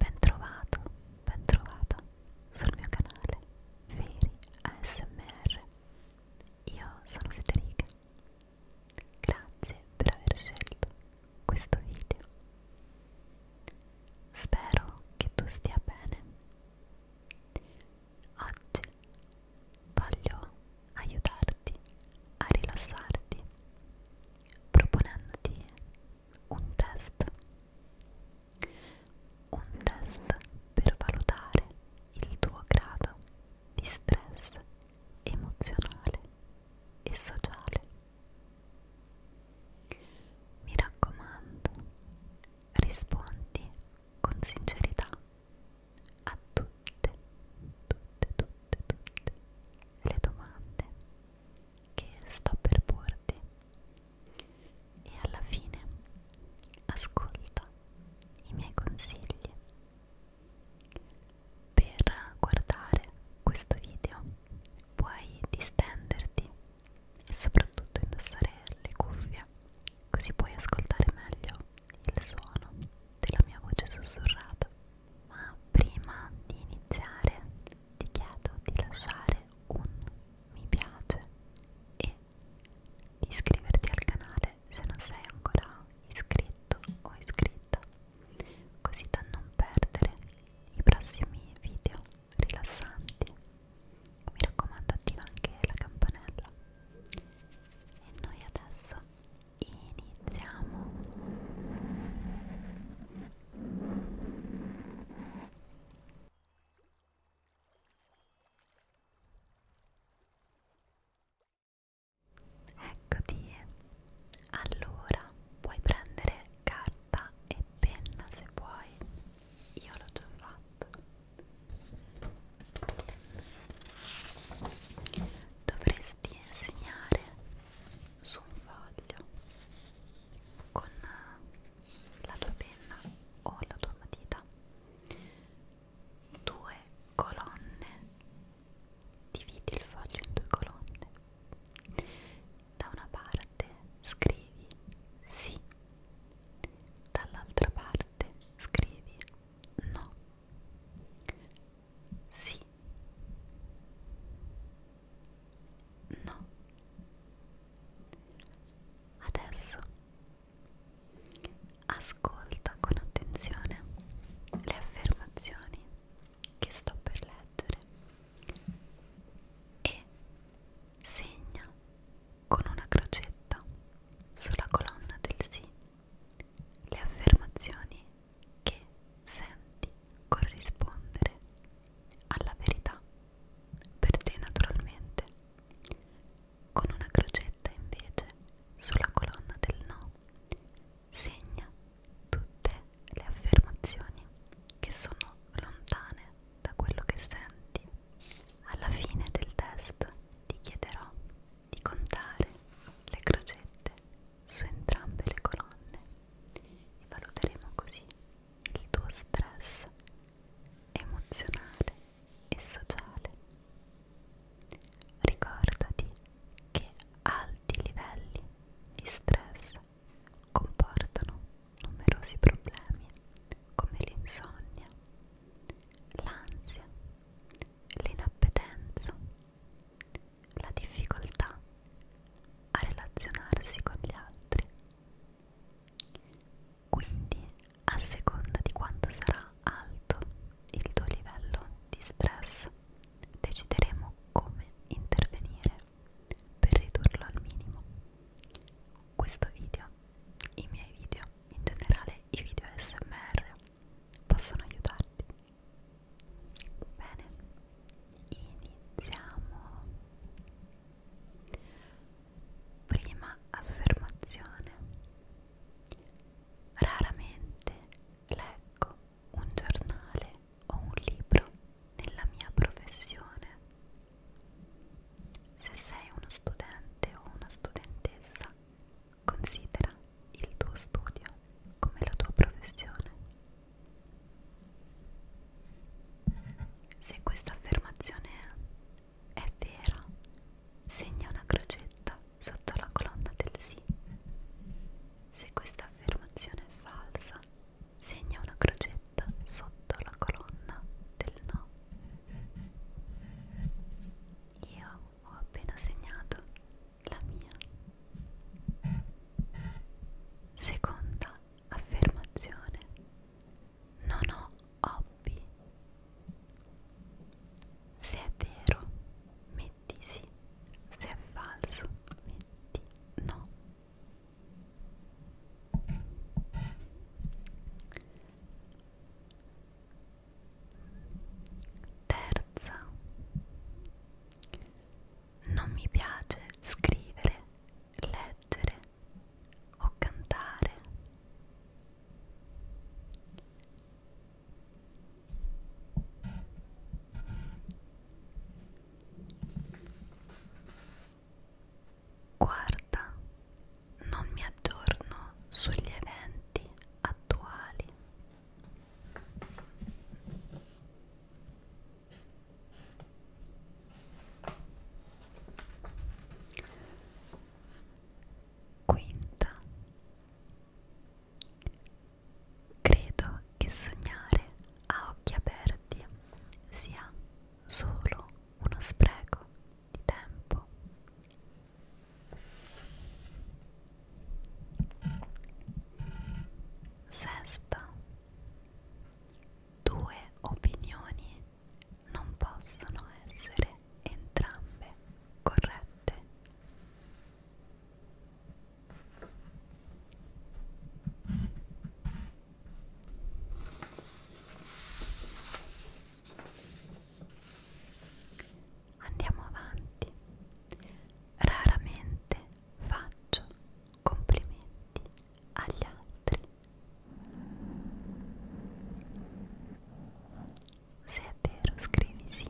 Ben trovato, ben trovata sul mio canale Veri ASMR. Io sono Federica. Grazie per aver scelto questo video. Spero che tu stia bene. Oggi voglio aiutarti a rilassarti proponendoti un test. Un test per valutare il tuo grado di stress emozionale e sociale. Mi raccomando, rispondi con sincerità a tutte, tutte, tutte, tutte le domande che sto per porti e alla fine ascolta i miei consigli. Per guardare questo video puoi distenderti e soprattutto indossare le cuffie, così puoi ascoltare meglio il suono della mia voce sussurrata. Ma prima di iniziare ti chiedo di lasciare un mi piace e di iscriverti al canale se non sei ancora iscritto o iscritta così da non perdere i prossimi video rilassanti. Mi raccomando attiva anche la campanella. E noi adesso iniziamo. Eccoti. Allora, puoi prendere carta e penna se vuoi. Io l'ho già fatto. Dovresti segnare su un foglio con la tua penna o la tua matita due colonne Dividi il foglio in due colonne. Da una parte scrivi sì, dall'altra parte scrivi no. Sì. No. Adesso ascolta con attenzione le affermazioni che sto per leggere e segna con una crocetta sulla colonna del sì le affermazioni che senti corrispondere alla verità per te naturalmente con una crocetta invece sulla colonna del no segna tutte le affermazioni che sono lontane da quello che senti. Alla fine del test ti chiederò di contare le crocette su entrambe le colonne e valuteremo così il tuo stress emozionale e sociale. Ricordati che alti livelli di stress comportano numerosi problemi come l'insonnia, l'ansia, l'inappetenza, la difficoltà a relazionarsi con gli altri. Quindi, a seconda di quanto sarà alto il tuo livello di stress, decideremo come intervenire per ridurlo al minimo. Questo video, i miei video, in generale i video SMR, possono aiutarti. Bene, iniziamo. Prima affermazione. Raramente leggo un giornale o un libro nella mia professione. Se sei uno studente o una studentessa, considera il tuo studio come la tua professione. Se questa affermazione è vera, segna una crocetta sotto la colonna del sì. Se questa affermazione è falsa, segna una crocetta sotto la colonna del no. Io ho appena segnato la mia. Seconda affermazione. Non ho hobby. Se è vero, mi metti sì, se è falso metti no. Terza, non mi piace scrivere, leggere o cantare. Guarda, non mi aggiorno sugli eventi attuali. Quinta Credo che sognare a occhi aperti sia solo uno spreco di tempo. Sesta. Due opinioni non possono essere entrambe corrette. Andiamo avanti. Raramente faccio complimenti agli altri. Se è vero, scrivi sì.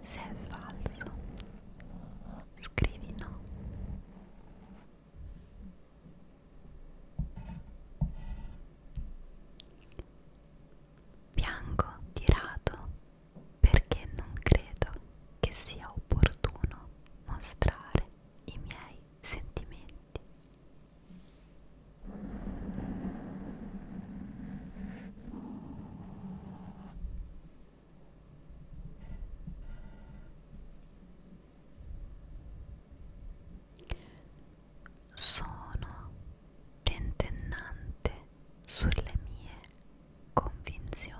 Se è falso, scrivi no. Bianco tirato perché non credo che sia opportuno mostrare i miei sentimenti. Sono tentennante sulle mie convinzioni.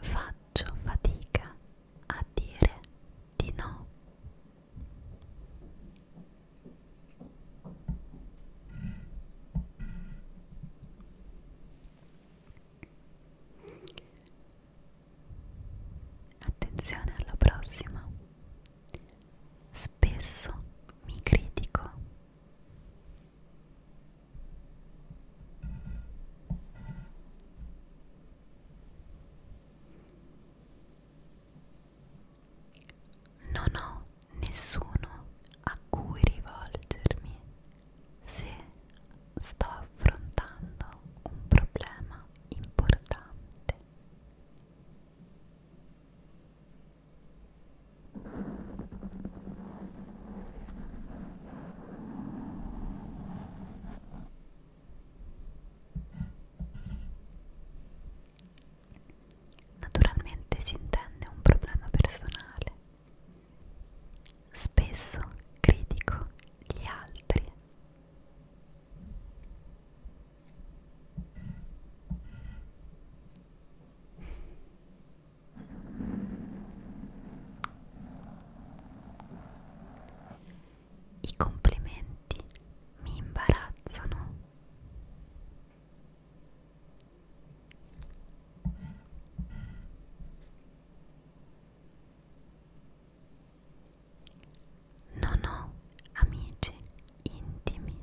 Faccio fatica a dire di no. Attenzione alla prossima. Spesso mi critico. Non ho nessuno a cui rivolgermi se sto affrontando un problema importante. Naturalmente si intende un problema personale. Spesso critico gli altri. I complimenti mi imbarazzano. Non ho amici intimi.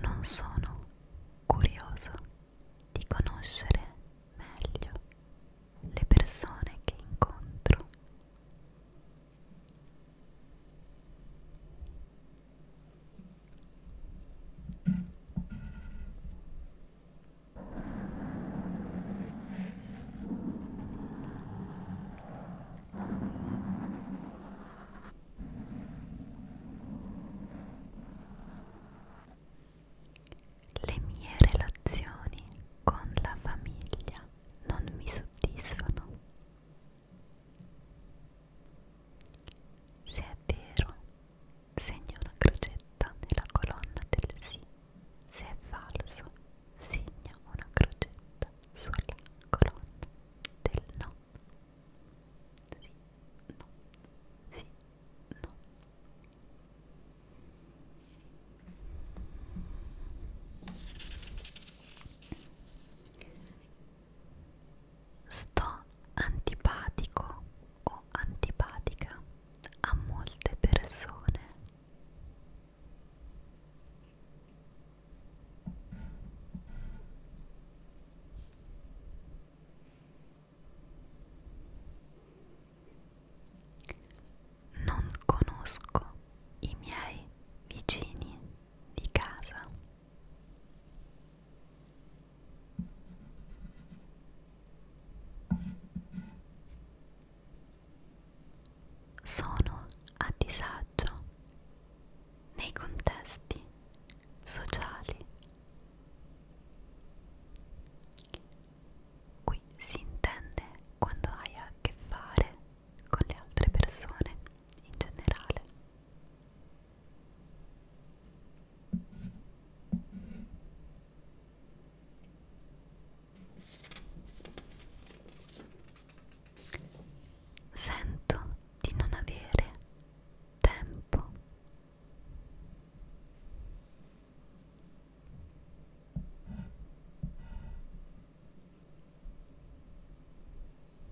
Non sono curioso di conoscere meglio le persone che incontro. Le mie relazioni con la famiglia non mi soddisfano. Se è vero, segno una crocetta nella colonna del sì. Se è falso, segna una crocetta sulla colonna del no. Sì, no, sì, no. Sto antipatico o antipatica a molte persone. Non conosco i miei vicini di casa. Sono a disagio nei contesti sociali. Qui si intende quando hai a che fare con le altre persone in generale. Sento di non avere tempo.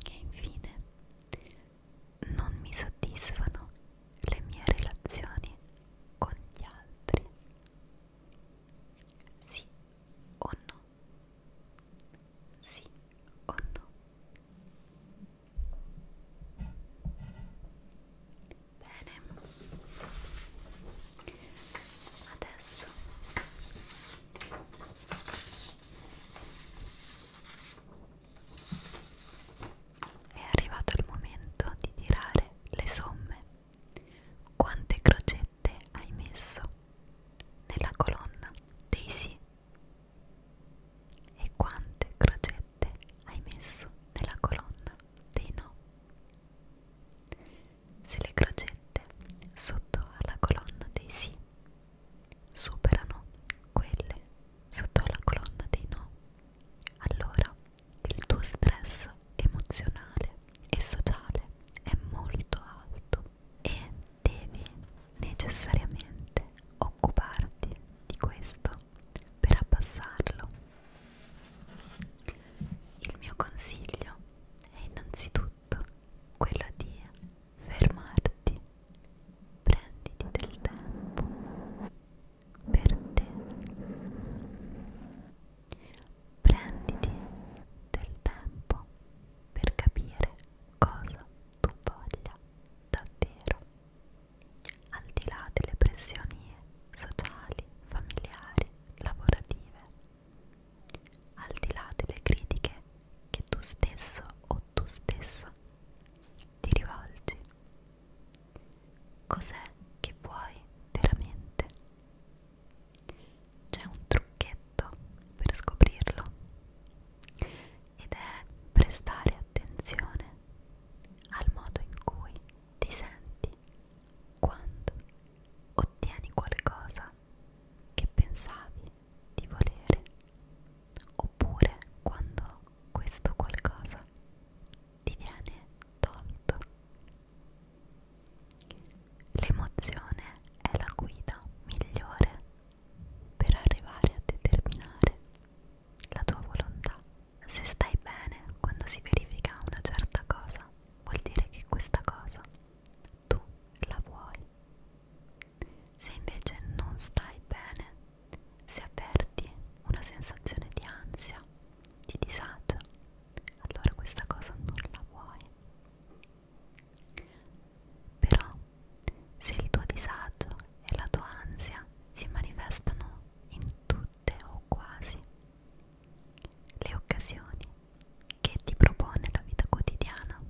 E infine non mi soddisfano le mie relazioni con gli altri. Sì o no? Sì o no? Bene, adesso è arrivato il momento di tirare le somme. Quante crocette hai messo nella colonna dei sì e quante crocette hai messo nella colonna dei no? Se le crocette sotto alla colonna dei sì superano quelle sotto alla colonna dei no, allora il tuo stress emozionale e sociale è molto alto e devi necessariamente occuparti di questo per abbassarlo. Il mio consiglio è innanzitutto quello di fermarti, prenditi del tempo per te, prenditi del tempo per capire cosa tu voglia davvero, al di là delle pressioni sociali, familiari, lavorative, al di là delle critiche che tu stesso o tu stessa ti rivolgi. Cos'è che vuoi veramente? C'è un trucchetto per scoprirlo ed è prestare attenzione al modo in cui ti senti quando ottieni qualcosa che pensavi di volere oppure quando questo qualcosa ti viene tolto L'emozione è la guida migliore per arrivare a determinare la tua volontà. Se stai bene quando si verifica una certa cosa, vuol dire che questa cosa tu la vuoi. Se invece non stai bene, se avverti una sensazione di ansia, di disagio, allora questa cosa non la vuoi. Però, se il tuo disagio e la tua ansia si manifestano in tutte o quasi le occasioni che ti propone la vita quotidiana,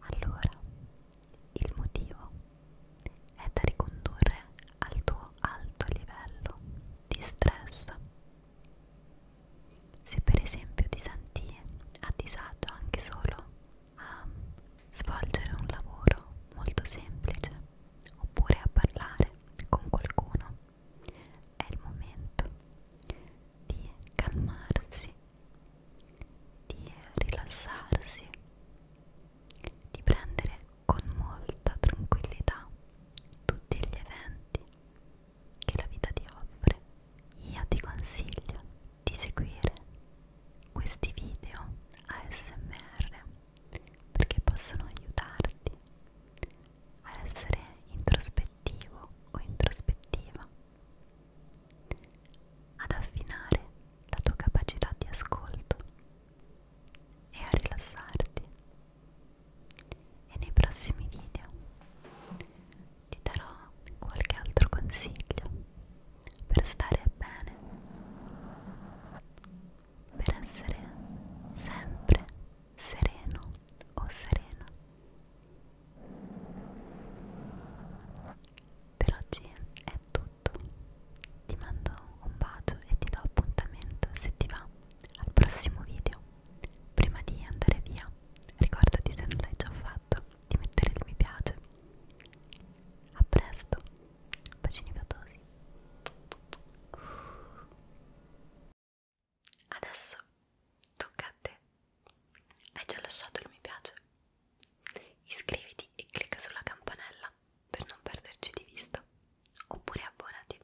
allora il motivo è da ricondurre al tuo alto livello di stress se per esempio ti senti a disagio anche solo a svolgere un lavoro molto semplice oppure a parlare con qualcuno, è il momento di calmarsi, di rilassarsi, di prendere con molta tranquillità tutti gli eventi che la vita ti offre, io ti consiglio di seguire questi video ASMR perché possono aiutarti a essere introspettivo o introspettiva, ad affinare la tua capacità di ascolto e a rilassarti e nei prossimi video ti darò qualche altro consiglio per stare bene, per essere sempre sereno o serena. Per oggi è tutto, ti mando un bacio e ti do appuntamento se ti va al prossimo video. Prima di andare via, ricordati se non l'hai già fatto di mettere il mi piace. A presto, bacini fatosi. Adesso tocca a te. Hai già lasciato il mi piace? Iscriviti e clicca sulla campanella per non perderci di vista. Oppure abbonati